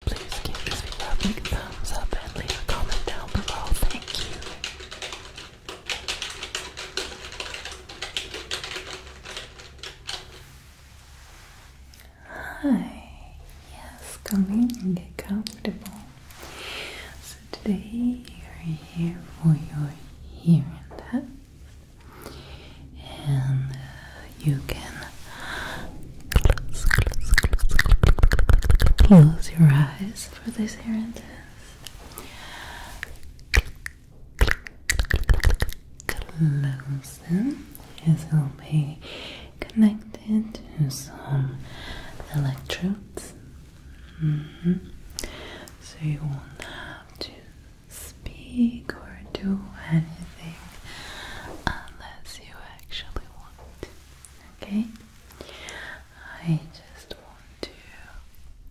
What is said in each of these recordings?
Please give this video a big thumbs up and leave a comment down below. Thank you. Hi, yes, come in and get comfortable. So, today you're here for your hearing test, and uh, you can close, your eyes for this hearing test. Close them, as they'll be connected to some electrodes. Mm-hmm. So you won't have to speak or do anything unless you actually want. Okay? I just want to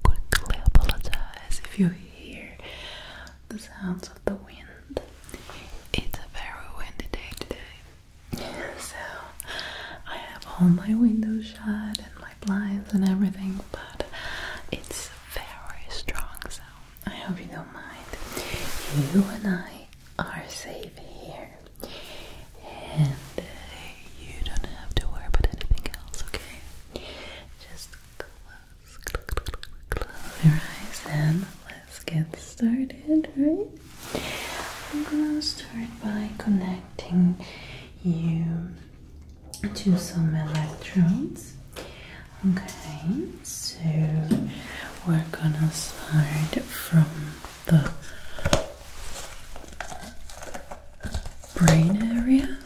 quickly apologize if you hear the sounds of the wind. It's a very windy day today. so I have all my windows shut and my blinds and everything, but it's very strong So I hope you don't mind. You and I are safe here. And uh, you don't have to worry about anything else, okay? Just close, close, close your eyes and let's get started, right? I'm gonna start by connecting you to some electrodes. Okay, so we're gonna start from the brain area.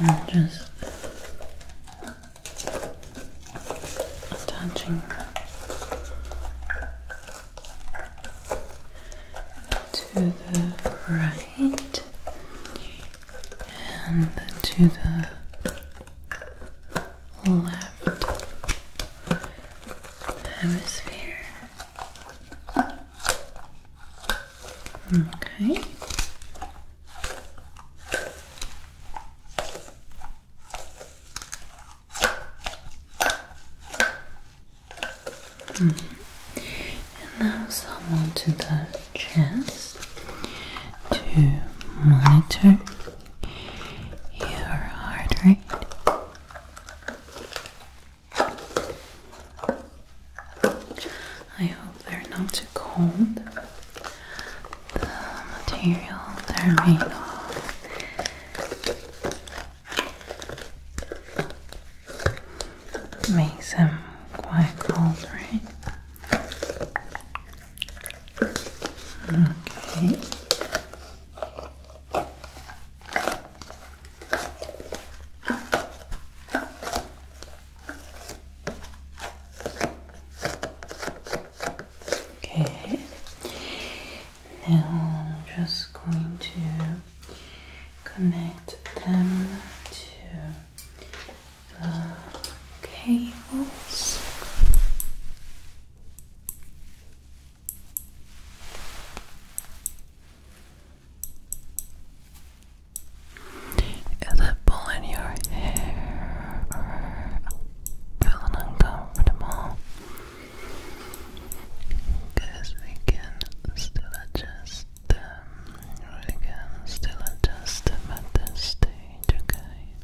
Now I'm just attaching to the right and to the left hemisphere. Okay. Mm-hmm. And now someone to the chest to monitor your heart rate. I hope they're not too cold. The material they're made of makes them quite cold, right? Okay. Okay. Now I'm just going to connect them to the cables. Is it pulling your hair feeling uncomfortable? Because we can still adjust we're again still adjust them at this stage, okay?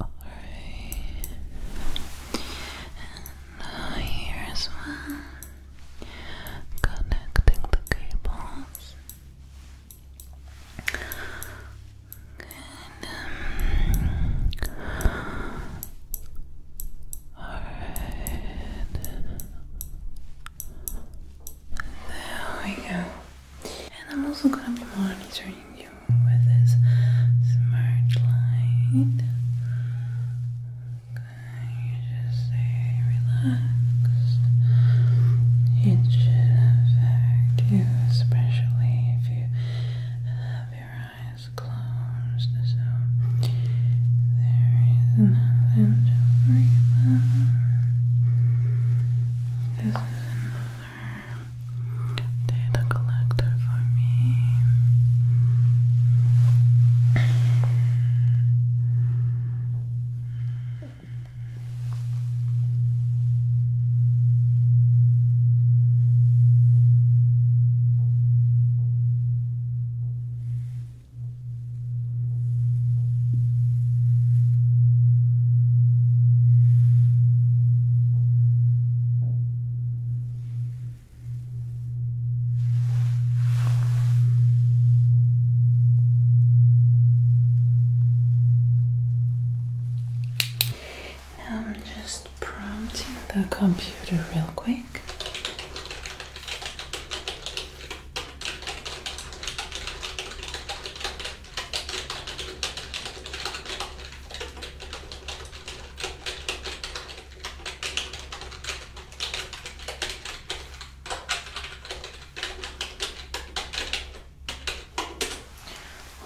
Alright. And now here's one connecting the cables. There we go. And I'm also gonna be monitoring you with this smart light. Okay, just stay relaxed. It should affect you, especially if you have your eyes eyes closed, so there is nothing to worry This is another data collector for me. Now I'm just prompting the computer real quick.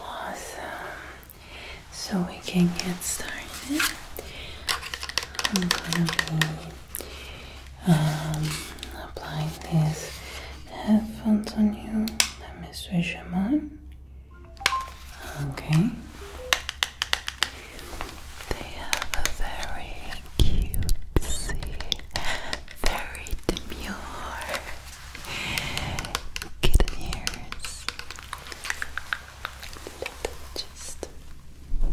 Awesome. So we can get started. I'm gonna be um, applying these headphones on you. Let me switch them on. Okay. They have very cutesy, very demure kitten ears just. Okay.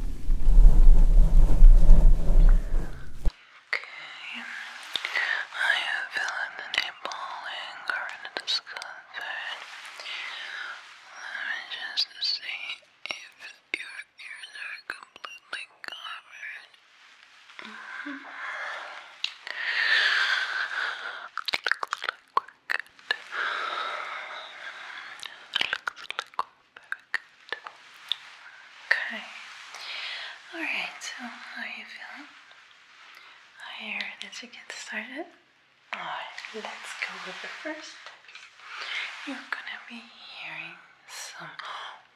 Are you feeling any pulling or any discomfort? Let me just see if your ears are completely covered. Mm Looks like we're good. Looks like Okay. Alright, so how are you feeling? I heard that get started. Alright, let's go with the first You're gonna be hearing some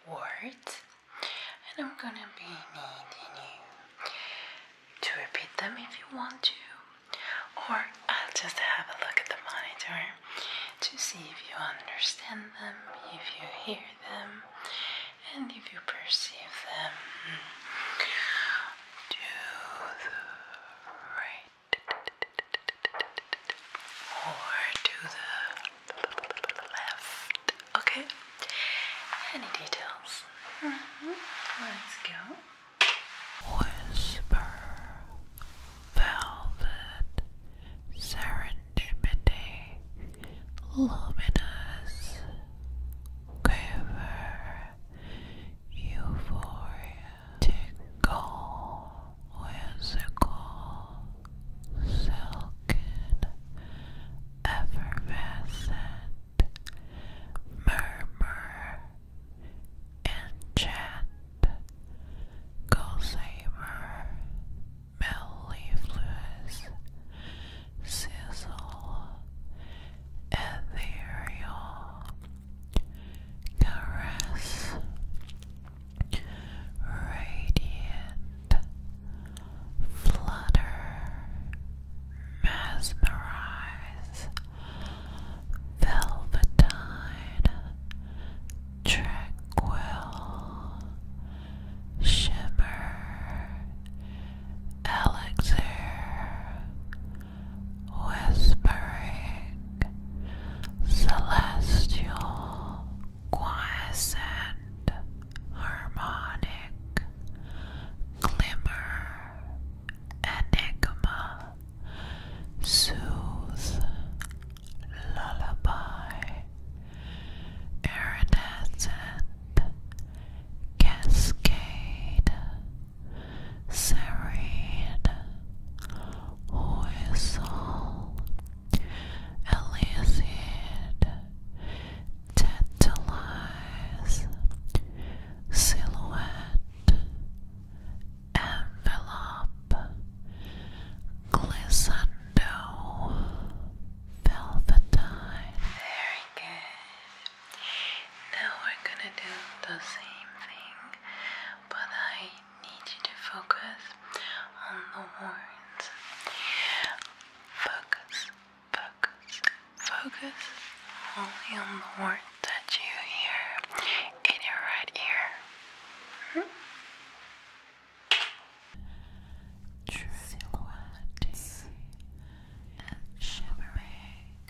words, and I'm gonna be needing you to repeat them if you want to, or I'll just have a look at the monitor to see if you understand them, if you hear them, and if you perceive them. To the right or to the left. Okay? Any details? Mm-hmm. Let's go. Whisper, Velvet, Serendipity, Luminous, Quiver, Euphoria, Tickle, Whimsical, Silken, Effervescent, Murmur, Enchant, Goldsaber, Metal Sizzle, Ethereal, Caress, Radiant, Flutter, Mesmerize, Velvetine, Tranquil, Shimmer, Elixir, Whispering, Celestial, Quiescent, Harmonic, Glimmer, Enigma, soothe, lullaby, iridescent, cascade, serene, whistle, elicit, tantalize, silhouette, Envelope Glissando Velvetine. Very good. Now we're gonna do the same thing, but I need you to focus on the words. Focus, focus, focus only on the words that you hear in your right ear. Mm and shimmering,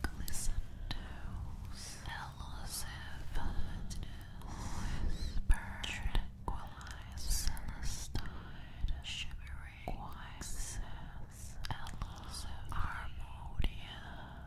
glisten elusive whisper, tranquilized celestine, shimmering, quiet, elusive, harmonious.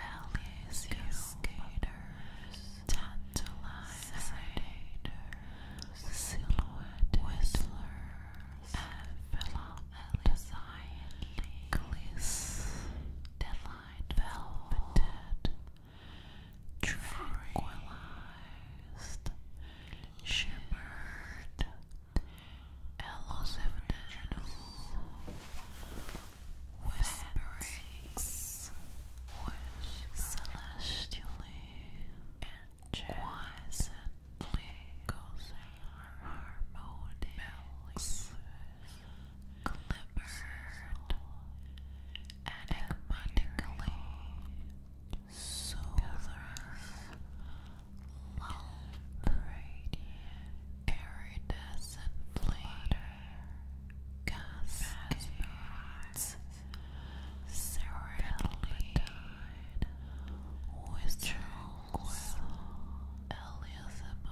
Alias skaters, tantalizing, silhouettes whistlers, envelope designedly, gliss, delight velveted, tranquilized, shimmered, elusiveness whisperings which celestially and quietly causing harmonious enigmatically solar lull radiant Cascades, Serenidine, with Tranquil, Elias Great.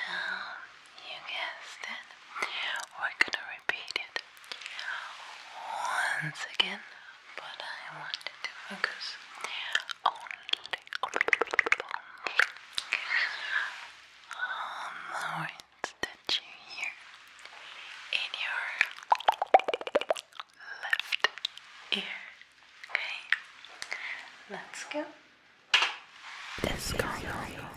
now, you guessed it, we're gonna repeat it it once again, but I want to focus only, only on the words that you hear in your left ear. Okay, let's go. Let's go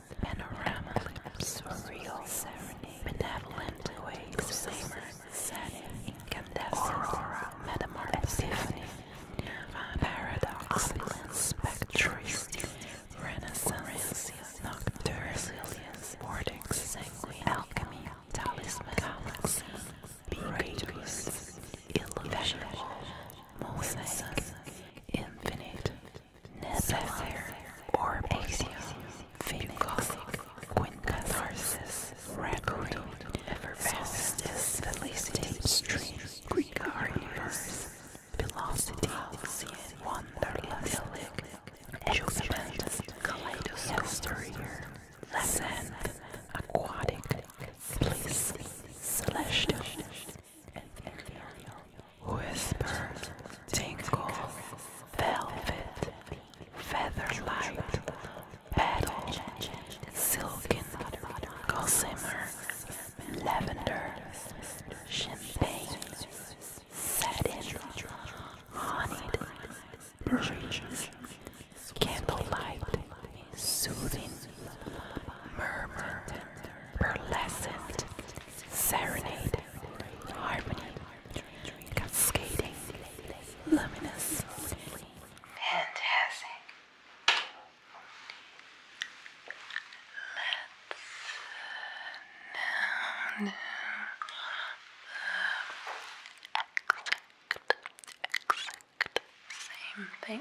panorama, surreal, serenade, benevolent, waves, Incandescent, aurora, metamorphosis, epiphany, nirvana, paradox, Spectre, spectricity, renaissance, nocturne, resilience, vortex, sanguine, alchemy, talisman, galaxy, radius, illusion, mosaic, infinite, Necessary or Asia, Philosophic, Queen Catharsis, Record, Everfastest, Felicity, Stream, Greek Universe, Velocity, Wonderlust, Jubilant, Kaleidoscope, Ascent, Aquatic, Bliss, Celestial, Whispers, tingles, velvet, light, petal, silken, gossamer, lavender, champagne, satin, honeyed, breeze, candlelight, soothing, murmur, burlescent, Serenade, Harmony, Cascading, Luminous, Fantastic. Let's uh, now exact, exact same thing,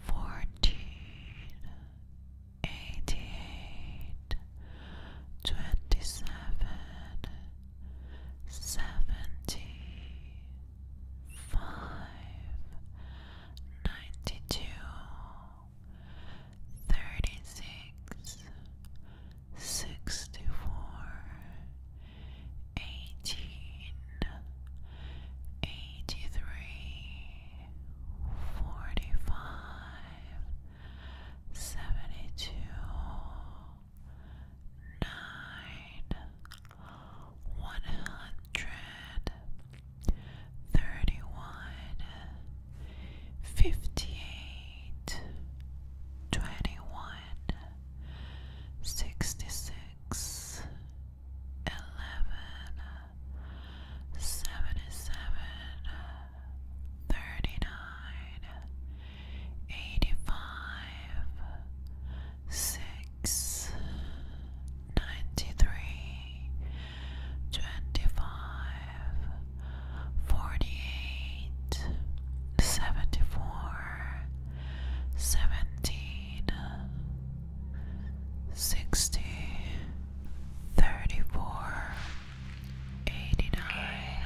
fourteen, eighty-eight, twenty-seven, seventy, five, ninety-two, thirty-six, sixty-four eighteen, eighty-three, forty-five, seventy-two, nine, one hundred, thirty-one, fifty-eight, twenty-one, sixty-six. 59 eleven, seventy seven, thirty nine, eighty five, six, ninety three, twenty five, forty eight, seventy four, seventeen sixty, thirty four, eighty nine.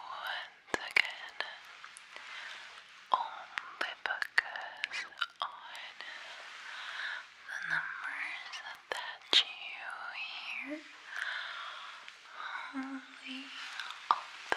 Once again, only focus on the numbers that you hear. Only the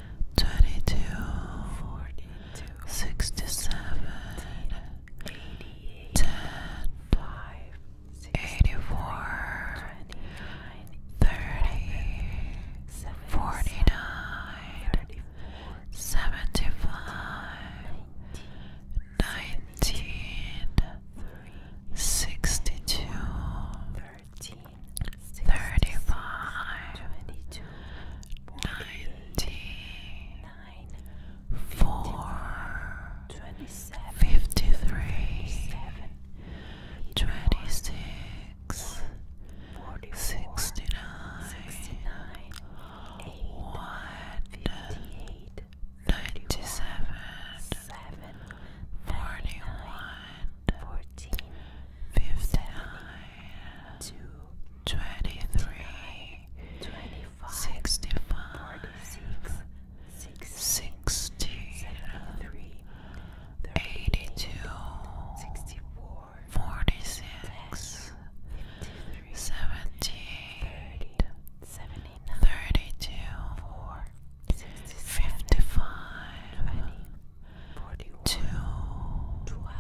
22 67 80, 49 75 19 62 13 thirty-five, ninety, four, fifty-three, twenty-six, sixty-nine, one, ninety-seven, forty-one fourteen, fifty-nine, two, twenty-three, twenty-five, sixty-five, forty-six, sixteen, seventy-three, eighty-two, sixty-four, forty-six, fifty-three, seventy-eight, seventy-nine, thirty-two, four. 65 20 to 12,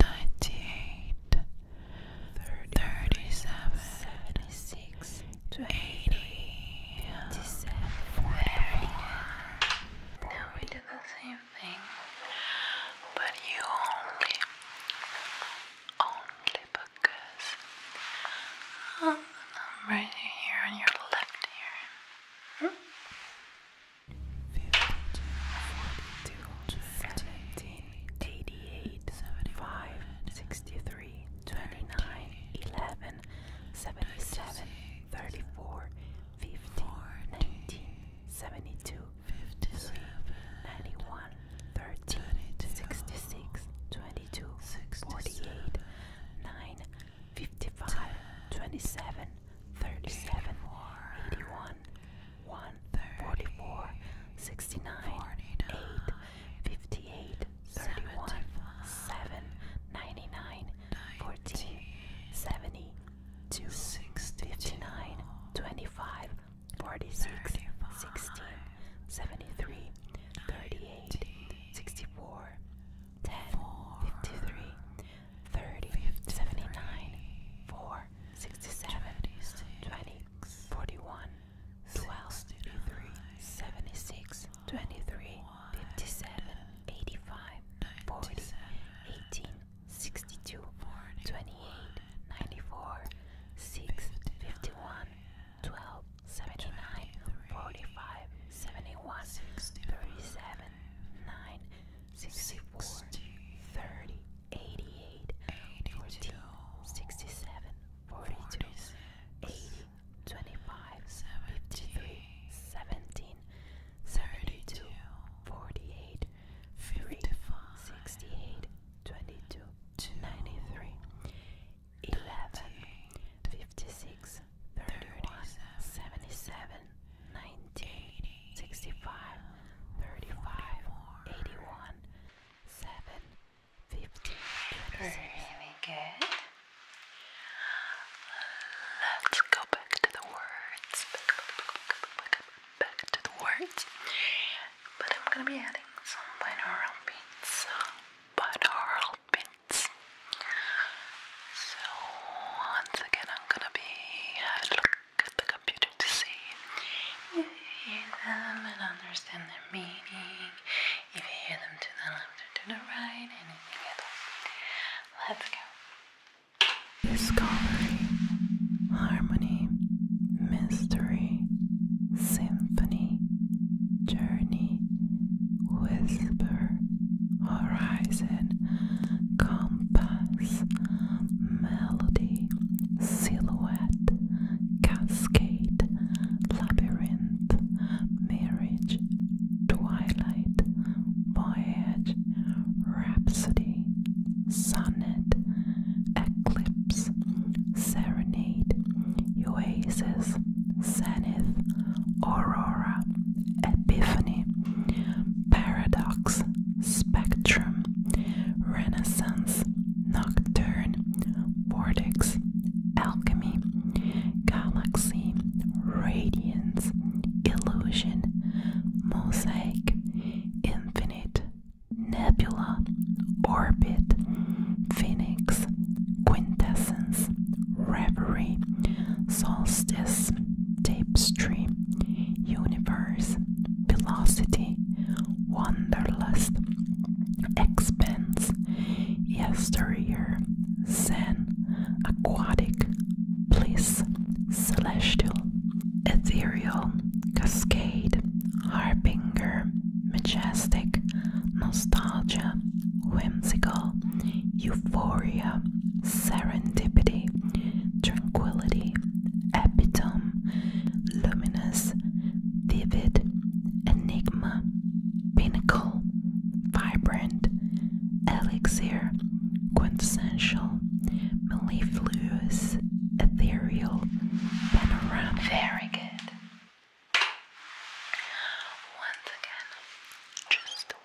98, 37, 76, 20, 80, 57, 41. Now we did the same thing, but you only, only because oh, the number is here on your left ear. 42, 17, 88, 75, 63, 29, 11, 77, 34, 50, 19, 72, 53, 91, 13, 66, 22, 48, 9, 55, 27, 37, 81, 1, 44, 69, 8, 58, 31, 7, 99, 14, 70, 2, 59, 25, 46, 16, 73, 38, 64, 10, 53, 30, 79, 4, 67, 20, 41, 12, 3, 76, 23, 57, 85, 40, 18, 62, 28, 94, 6, 51, 12, 79, 45, 71, 37, 9, sixty four, thirty, eighty eight, forty, sixty seven, forty two, eighty, twenty five, fifty three, seventeen, thirty two, forty eight, three, sixty eight, twenty two, ninety three, eleven, fifty six, 31, 77, 19, 65, 35, 81, 15, good. Let's go back to the words. Back, to the words. But I'm gonna be adding some binaural beats. Binaural beats. So once again, I'm gonna be having a look at the computer to see if you hear understand their meaning. If you hear them to the left or to the right, anything at all. Let's go. Discovery, harmony, mystery, symphony, journey, whisper, horizon compass, melody, silhouette, cascade, labyrinth, marriage, twilight, voyage, rhapsody, sonnet, eclipse, serenade, oasis, zenith, aurora, epiphany, paradox, spectrum, renaissance, nocturne, vortex, alchemy, galaxy, radiance, illusion, mosaic, infinite, nebula, orbit, phoenix, quintessence, reverie, solstice, tapestry, universe, velocity, wanderlust, expanse, yesteryear, zen, aquatic, bliss, celestial, ethereal, cascade, harbinger, majestic, nostalgia, whimsical, euphoria, serendipity, tranquility, epitome, luminous, vivid, enigma, pinnacle, vibrant, elixir, quintessential, mellifluous, ethereal, panoramic. Very good. Once again, just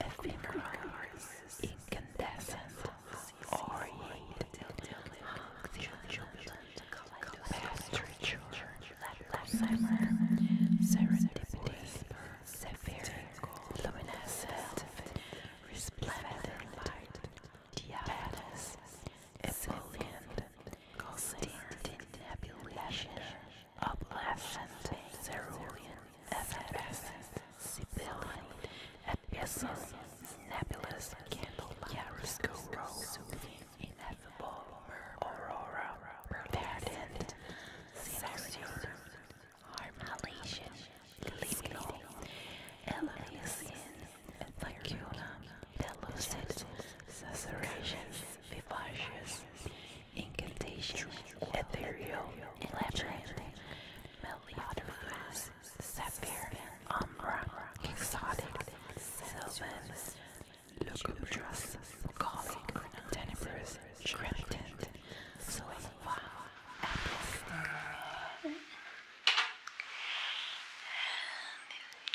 ephemeral, incandescent, oriate, past ritual, Lapheimer, serendipity, severe, luminescent, resplendent diaphanous, emollient, stinted, lavender, Adolescent, cerulean, effervescent, sibilant, abyssal, nebulous, candle, chiaroscuro, ineffable, aurora, verdant, celestial, harmalation, lignal, elysian, lacuna, pellucid, susurration, vivacious, incantation, ethereal, elaborate, melodious, sapphire, umbra, exotic, sylvan, lugubrious, gallic, tenebrous, cryptid, saliva, And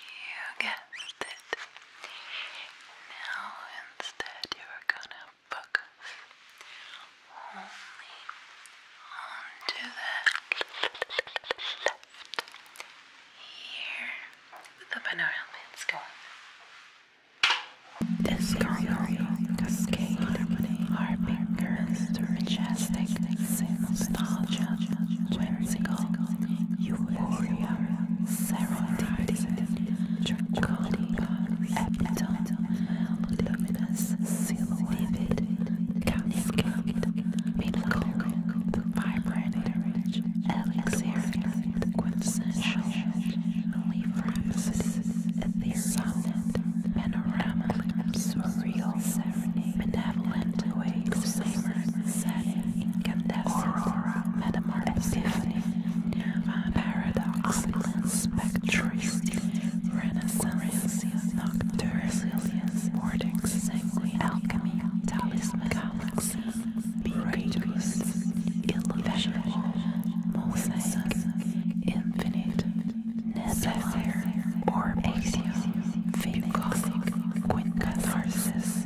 you guessed it. Now instead you are gonna the book of only onto the left here with the binaural bits going. This gargoyle cascade are fingers majestic nostalgia, whimsical, euphoria, serendipity, Connie, Epitome, Luminous, Silhouette, Cascade, Miracle, Vibrant, Elixir, Quintessential, Leaf Ethereal, Panorama, Surreal, Benevolent, Wave, Incandescent, Aurora, paradoxical spectris, renaissance, nocturne, vortex, sanguine, alchemy, talisman, galaxy, radius, illusional, mosaic, infinite, necessary, orb axiom, phagocytic, quintcatharsis,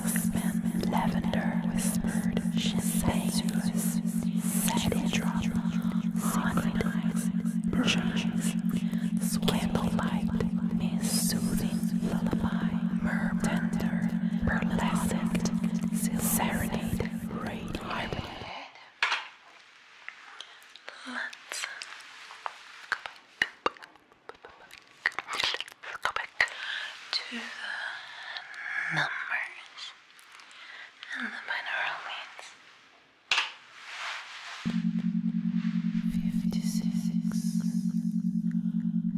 suspense, lavender whispered, champagne, satin drama, haunted eyes, brushes, lullaby, murmur, tender, serenade, radio. Go back to the numbers and the binaural means. Fifty six,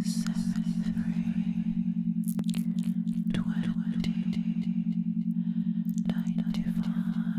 seventy three, twenty, ninety five.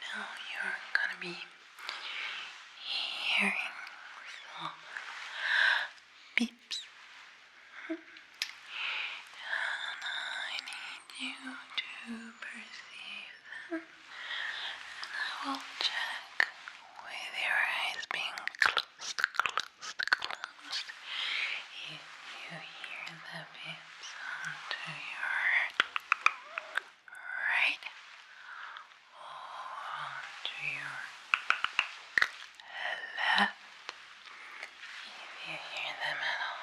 Now you're gonna be hearing beeps. And I need you to perceive them. And I will check with your eyes being closed, closed, closed. If you hear the beeps onto your right onto your left if you hear them at all.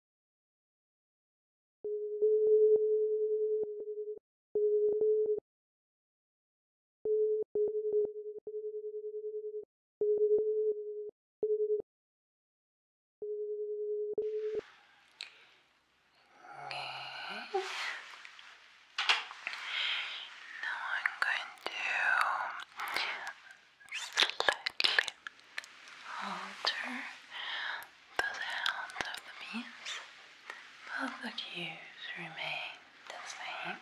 Me. Now I'm going to slightly alter the sound of the beats, but the cues remain the same.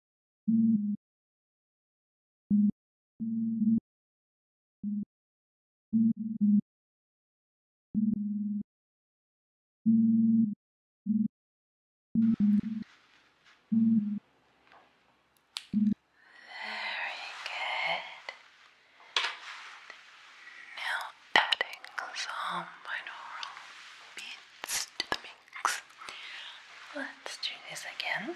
good. Now adding some binaural beats to the Let's do this again.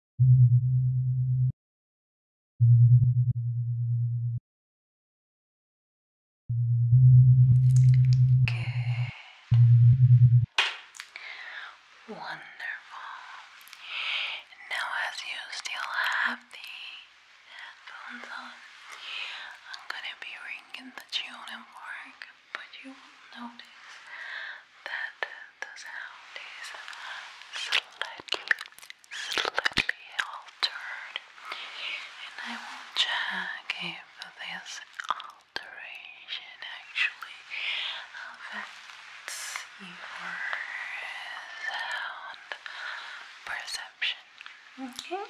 Good. Wonderful. Now, as you still have the headphones on, I'm gonna be ringing the tune and fork, but you will notice that the sound is slightly slightly altered, and I will check if this alteration actually affects your sound perception. Okay.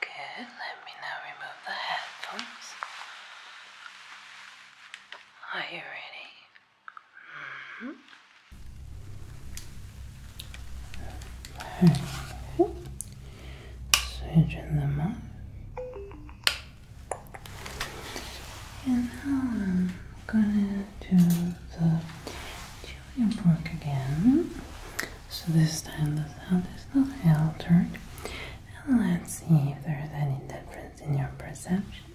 Good, let me now remove the headphones. Are you ready? Mm-hmm. Okay. Switching them up. And now I'm gonna do the junior book again. So this time the sound is not altered. And let's see if there is any difference in your perception.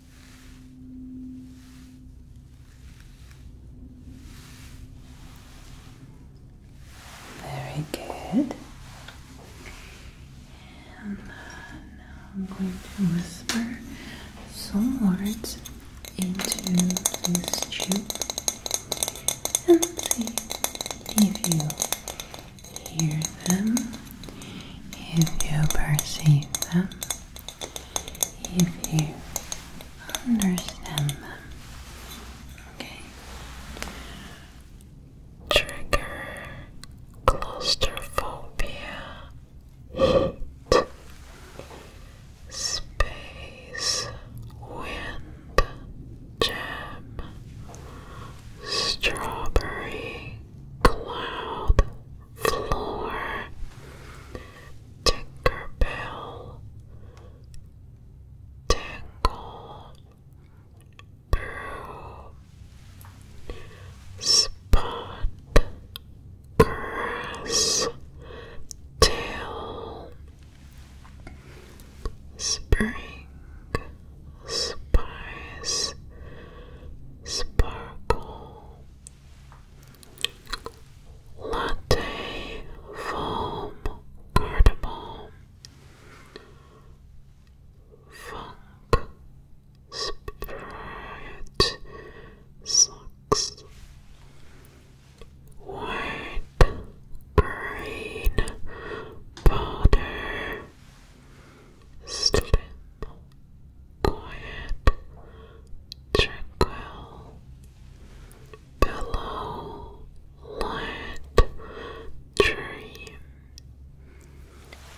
Very good. And uh, now I'm going to whisper some words into this tube and see if you hear them if you perceive them, if you understand them. Okay. Trigger claustrophobia, heat, space, wind, gem, strawberry, cloud, floor. Tinkerbell, Tingle, Brew, Spot, Grass, Tail, Spring, Spice, Sparkle. Latte foam cardamom funk spirit socks white green powder Stupid, quiet, tranquil, pillow, light, dream.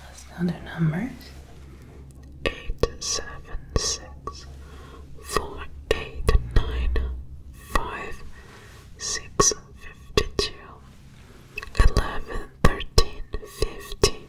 Let's know their numbers. Eight, seven, six, four, eight, nine, five, six, fifty-two, eleven, thirteen, fifty.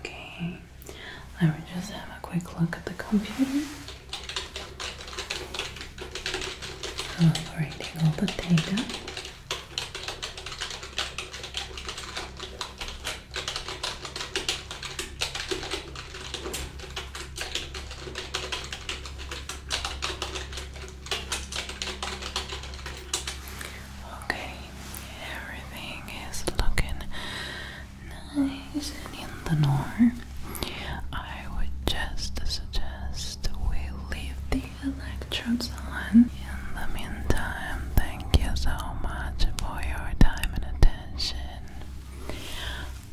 Okay, let me just have a quick look at the computer. Evaluating all the data. Okay, Everything is looking nice and in the norm. I would just suggest we leave the electrodes on. In the meantime, thank you so much for your time and attention.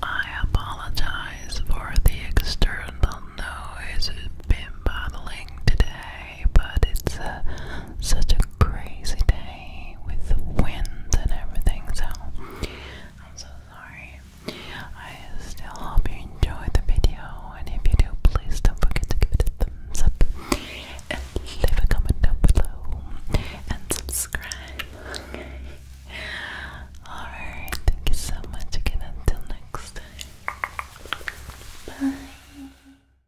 I apologize for the external noise it's been bothering today but it's uh, such a crazy day with the wind and everything, so I'm so sorry. I hope you enjoyed the video, and if you do, please don't forget to give it a thumbs up leave a comment down below and subscribe. Alright, thank you so much again. Until next time. Bye.